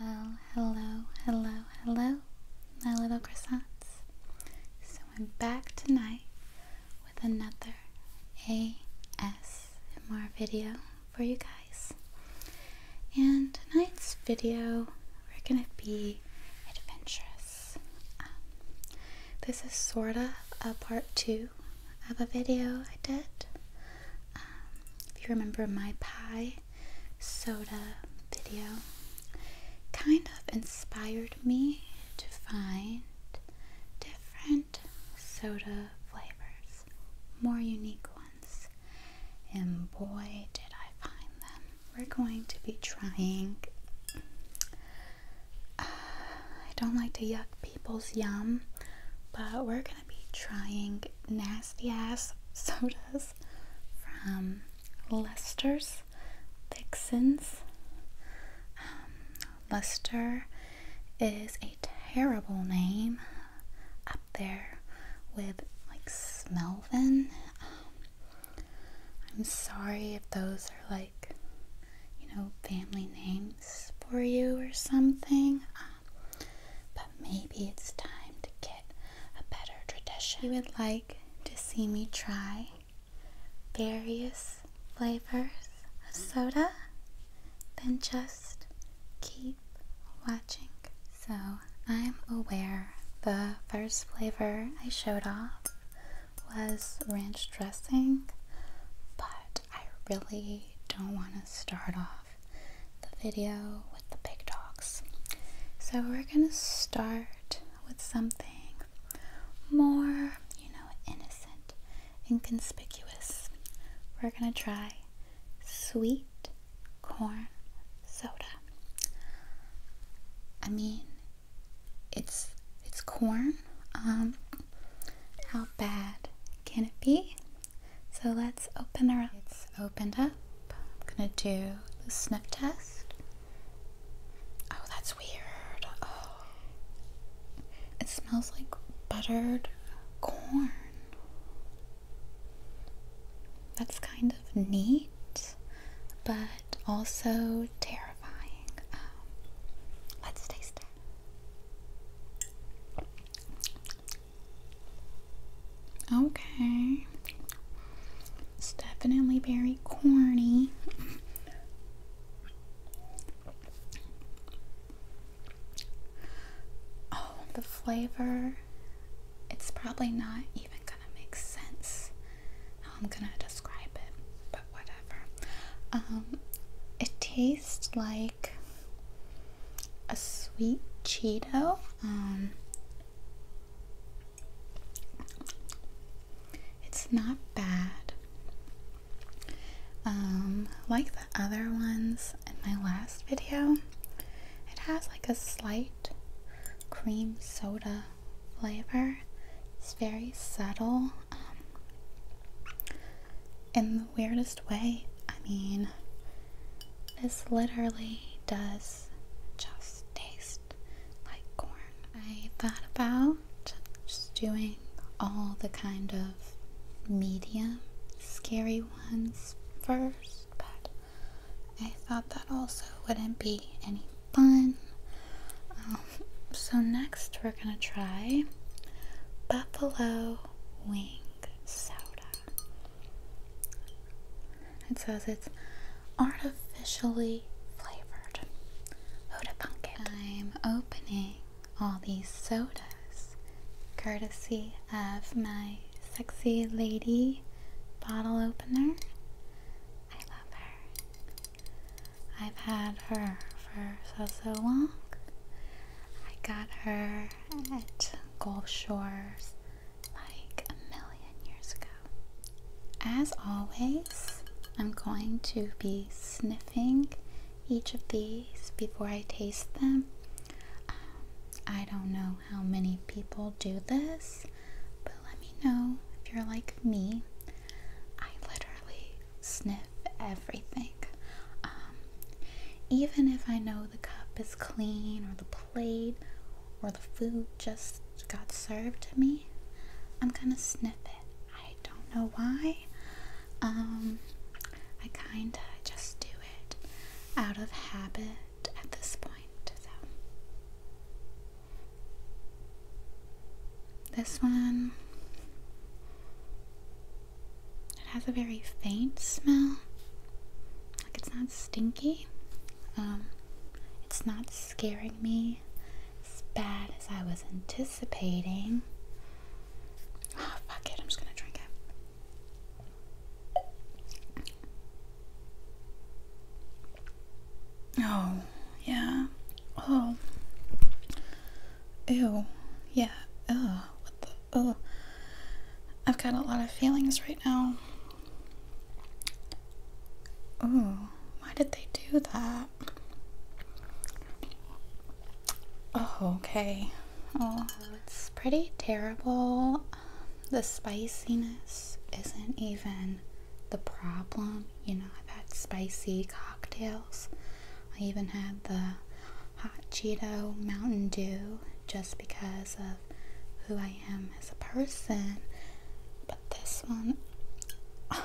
Well, hello, hello, hello, my little croissants. So I'm back tonight with another ASMR video for you guys. And tonight's video, we're gonna be adventurous. Um, this is sorta a part two of a video I did. Um, if you remember my pie soda video kind of inspired me to find different soda flavors, more unique ones. And boy, did I find them. We're going to be trying. Uh, I don't like to yuck people's yum, but we're be trying nasty ass sodas from Lester's Vixens. Um, Lester is a terrible name up there with like Smelvin. Um, I'm sorry if those are like you know family names for you or something. Um, but maybe it's time to get a better tradition. You would like to see me try various flavors of soda? Then just keep watching. So I'm aware the first flavor I showed off was ranch dressing, but I really don't want to start off the video with the big talks, So we're going to start with something more, you know, innocent, inconspicuous. We're going to try sweet corn soda. I mean, it's it's corn. Um, how bad can it be? So let's open it up. It's opened up. I'm gonna do the sniff test. Oh, that's weird. Oh. It smells like buttered corn. That's kind of neat, but also terrifying. Um, let's taste it. Okay. It's definitely very corny. Oh, the flavor. It's probably not even gonna make sense how I'm gonna describe it, but whatever. Um, it tastes like a sweet Cheeto. Um, it's not bad. Um, like the other ones in my last video, it has like a slight cream soda flavor. It's very subtle. Um, in the weirdest way. I mean, this literally does just taste like corn. I thought about just doing all the kind of medium scary ones first, but I thought that also wouldn't be any fun. Um, so, next, we're gonna try buffalo wing soda. It says it's artificially flavored. I'm opening all these sodas courtesy of my sexy lady bottle opener. I love her. I've had her for so so long. I got her at Gulf Shores like a million years ago. As always, I'm going to be sniffing each of these before I taste them. Um, I don't know how many people do this, but let me know if you're like me. I literally sniff everything. Um, even if I know the cup is clean or the plate or the food just got served to me, I'm gonna sniff it. I don't know why. Um, I kinda just do it out of habit at this point. This one. It has a very faint smell. Like it's not stinky. Um, it's not scaring me as bad as I was anticipating. Oh, fuck it. I'm just gonna drink it. Oh, yeah. Oh. Ew. Yeah. Oh, What the? Ugh. I've got a lot of feelings right now. Ooh. Why did they do that? Oh, okay. Oh, it's pretty terrible. The spiciness isn't even the problem. You know, I've had spicy cocktails I even had the hot Cheeto Mountain Dew just because of who I am as a person. But this one,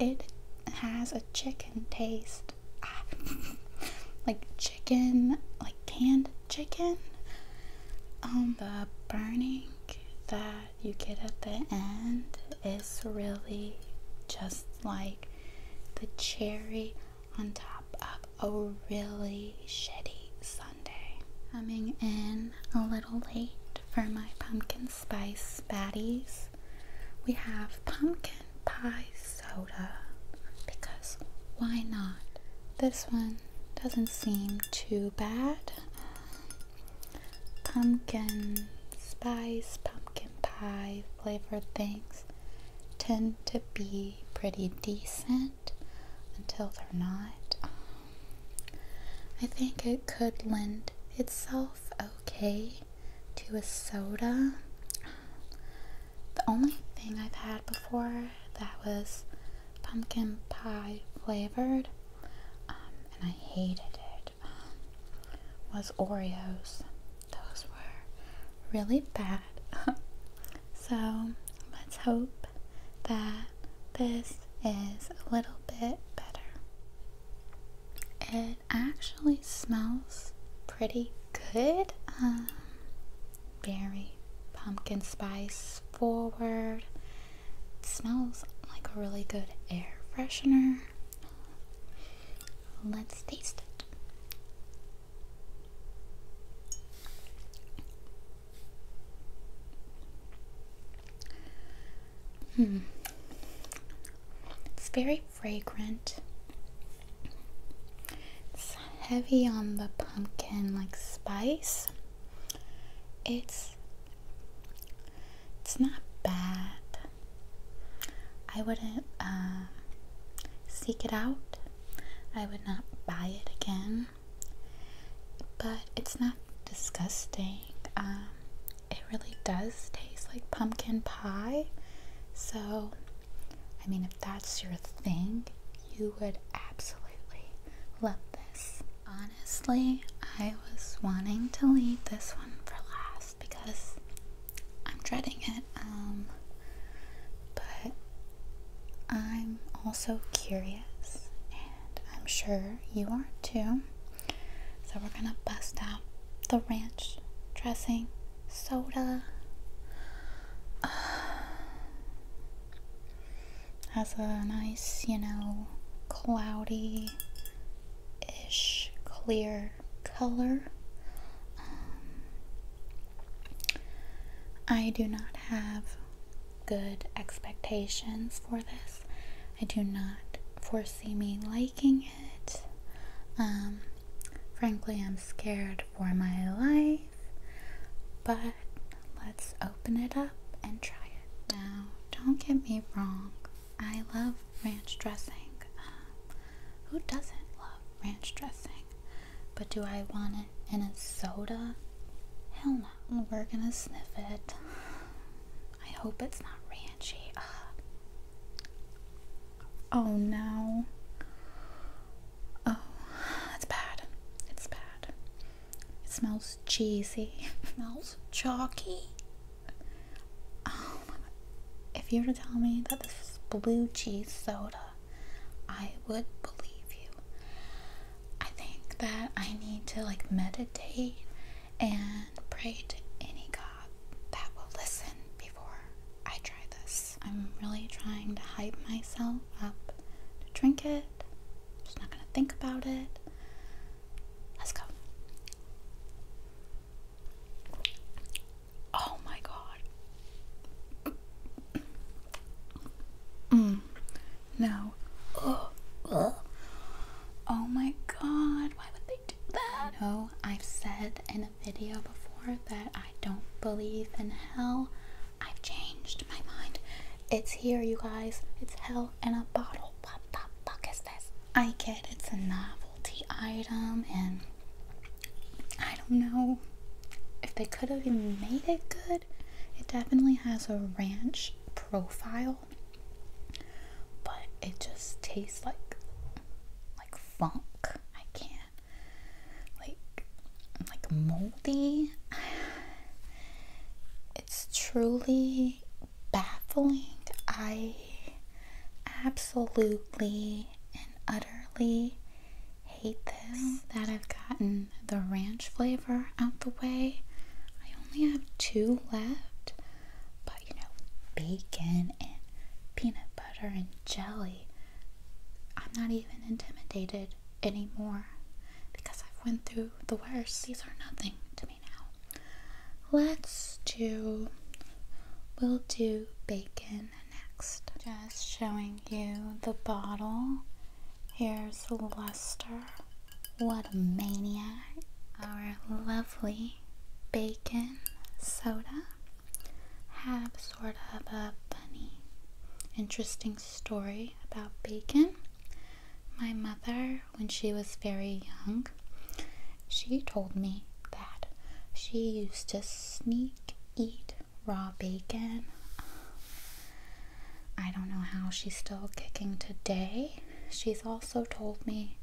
it has a chicken taste. like chicken, like canned chicken. Um, the burning, the you get at the end is really just like the cherry on top of a really shitty Sunday. Coming in a little late for my pumpkin spice baddies, we have pumpkin pie soda because why not? This one doesn't seem too bad pumpkin spice, pumpkin pie flavored things tend to be pretty decent until they're not. Um, I think it could lend itself okay to a soda. The only thing I've had before that was pumpkin pie flavored, um, and I hated it was Oreos. Those were really bad. so let's hope that this is a little bit better. It actually smells pretty good. Um, very pumpkin spice forward. It smells like a really good air freshener. Let's taste it. Hmm. It's very fragrant. It's heavy on the pumpkin like spice. It's it's not bad. I wouldn't uh, seek it out. I would not buy it again. But it's not disgusting. Um, it really does taste like pumpkin pie. So, I mean, if that's your thing, you would absolutely love this. Honestly, I was wanting to leave this one for last because I'm dreading it. Um, but I'm also curious, and I'm sure you are too. So we're gonna bust out the ranch dressing soda. has a nice, you know, cloudy ish clear color. Um, I do not have good expectations for this. I do not foresee me liking it. Um, frankly, I'm scared for my life, but let's open it up and try it. Now, don't get me wrong, I love ranch dressing. Um, who doesn't love ranch dressing? But do I want it in a soda? Hell no. We're gonna sniff it. I hope it's not ranchy. Oh no. Oh, it's bad. It's bad. It smells cheesy. It smells chalky. Oh my god. If you were to tell me that this is blue cheese soda, I would believe you. I think that I need to like meditate and pray to any god that will listen before I try this. I'm really trying to hype myself up to drink it just not gonna think about it. Let's go. Oh my god. Mm. No. Ugh. Oh my god, why would they do that? No, I've said in a video before that I don't believe in hell. I've changed my mind. It's here, you guys. It's hell in a bottle. What the fuck is this? I get it's a novelty item, and I don't know if they could have even made it good. It definitely has a ranch profile, but it just tastes like like funk. I can't like like moldy. It's truly baffling. I absolutely and utterly hate this. That I've gotten the ranch flavor out the way. I only have two left, but you know, bacon and peanut butter and jelly. I'm not even intimidated anymore because I've went through the worst. These are nothing to me now. Let's do we'll do bacon next. Just showing you the bottle. Here's the luster. What a maniac. Our lovely bacon soda have sort of a bunny. interesting story about bacon. My mother, when she was very young, she told me that she used to sneak eat raw bacon. I don't know how she's still kicking today. She's also told me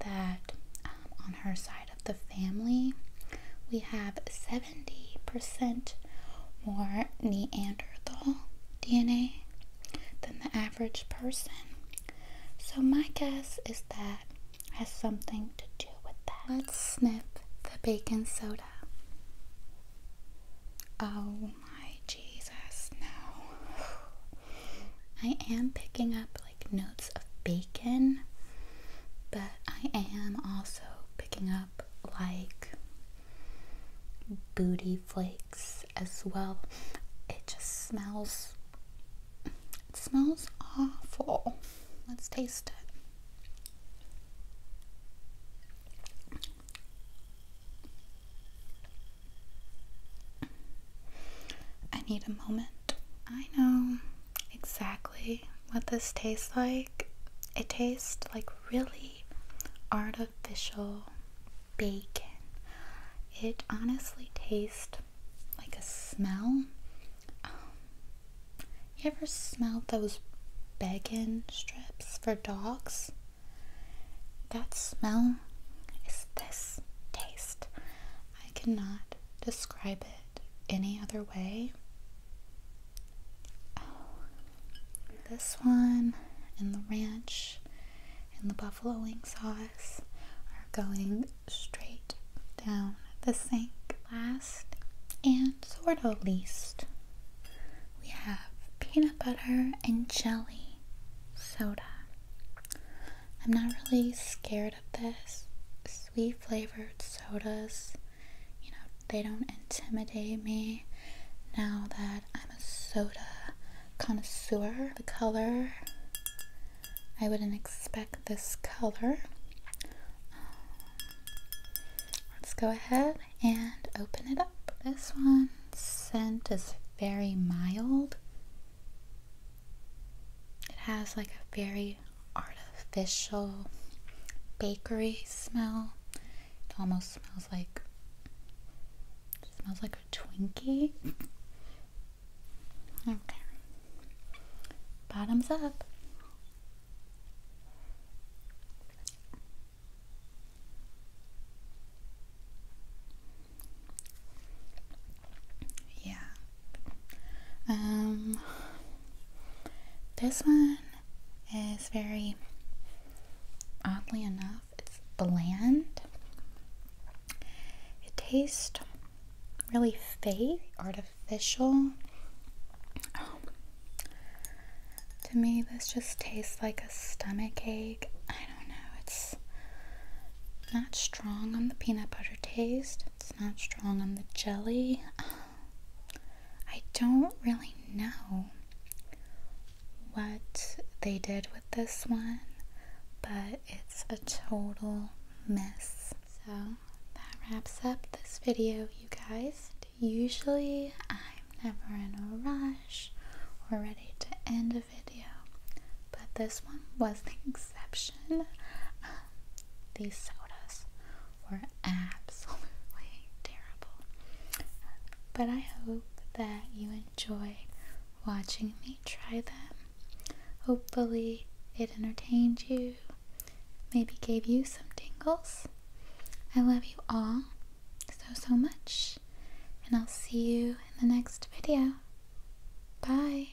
that um, on her side of the family, we have seven. 70% more Neanderthal DNA than the average person. So, my guess is that has something to do with that. Let's snip the bacon soda. Oh my Jesus, no. I am picking up like notes of bacon, but I am also picking up like booty flakes as well. It just smells it smells awful. Let's taste it. I need a moment. I know exactly what this tastes like. It tastes like really artificial bacon. It honestly tastes like a smell. Um, you ever smelled those bacon strips for dogs? That smell is this taste. I cannot describe it any other way. Oh, this one and the ranch and the buffalo wing sauce are going straight down the sink. Last and sort of least, we have peanut butter and jelly soda. I'm not really scared of this. Sweet flavored sodas you know, they don't intimidate me now that I'm a soda connoisseur. The color, I wouldn't expect this color. Um, let's go ahead and open it up. This one scent is very mild. It has like a very artificial bakery smell. It almost smells like smells like a Twinkie. Okay. Bottoms up. Yeah. Um, this one is very, oddly enough, it's bland. It tastes really fake, artificial. To me, this just tastes like a stomach ache. I don't know. It's not strong on the peanut butter taste. It's not strong on the jelly. I don't really know what they did with this one, but it's a total mess. So that wraps up this video, you guys. Usually I'm never in a rush or ready to end a video, but this one was the exception, um, these sodas were absolutely terrible. But I hope that you enjoyed watching me try them. Hopefully, it entertained you, maybe gave you some tingles. I love you all so, so much, and I'll see you in the next video. Bye.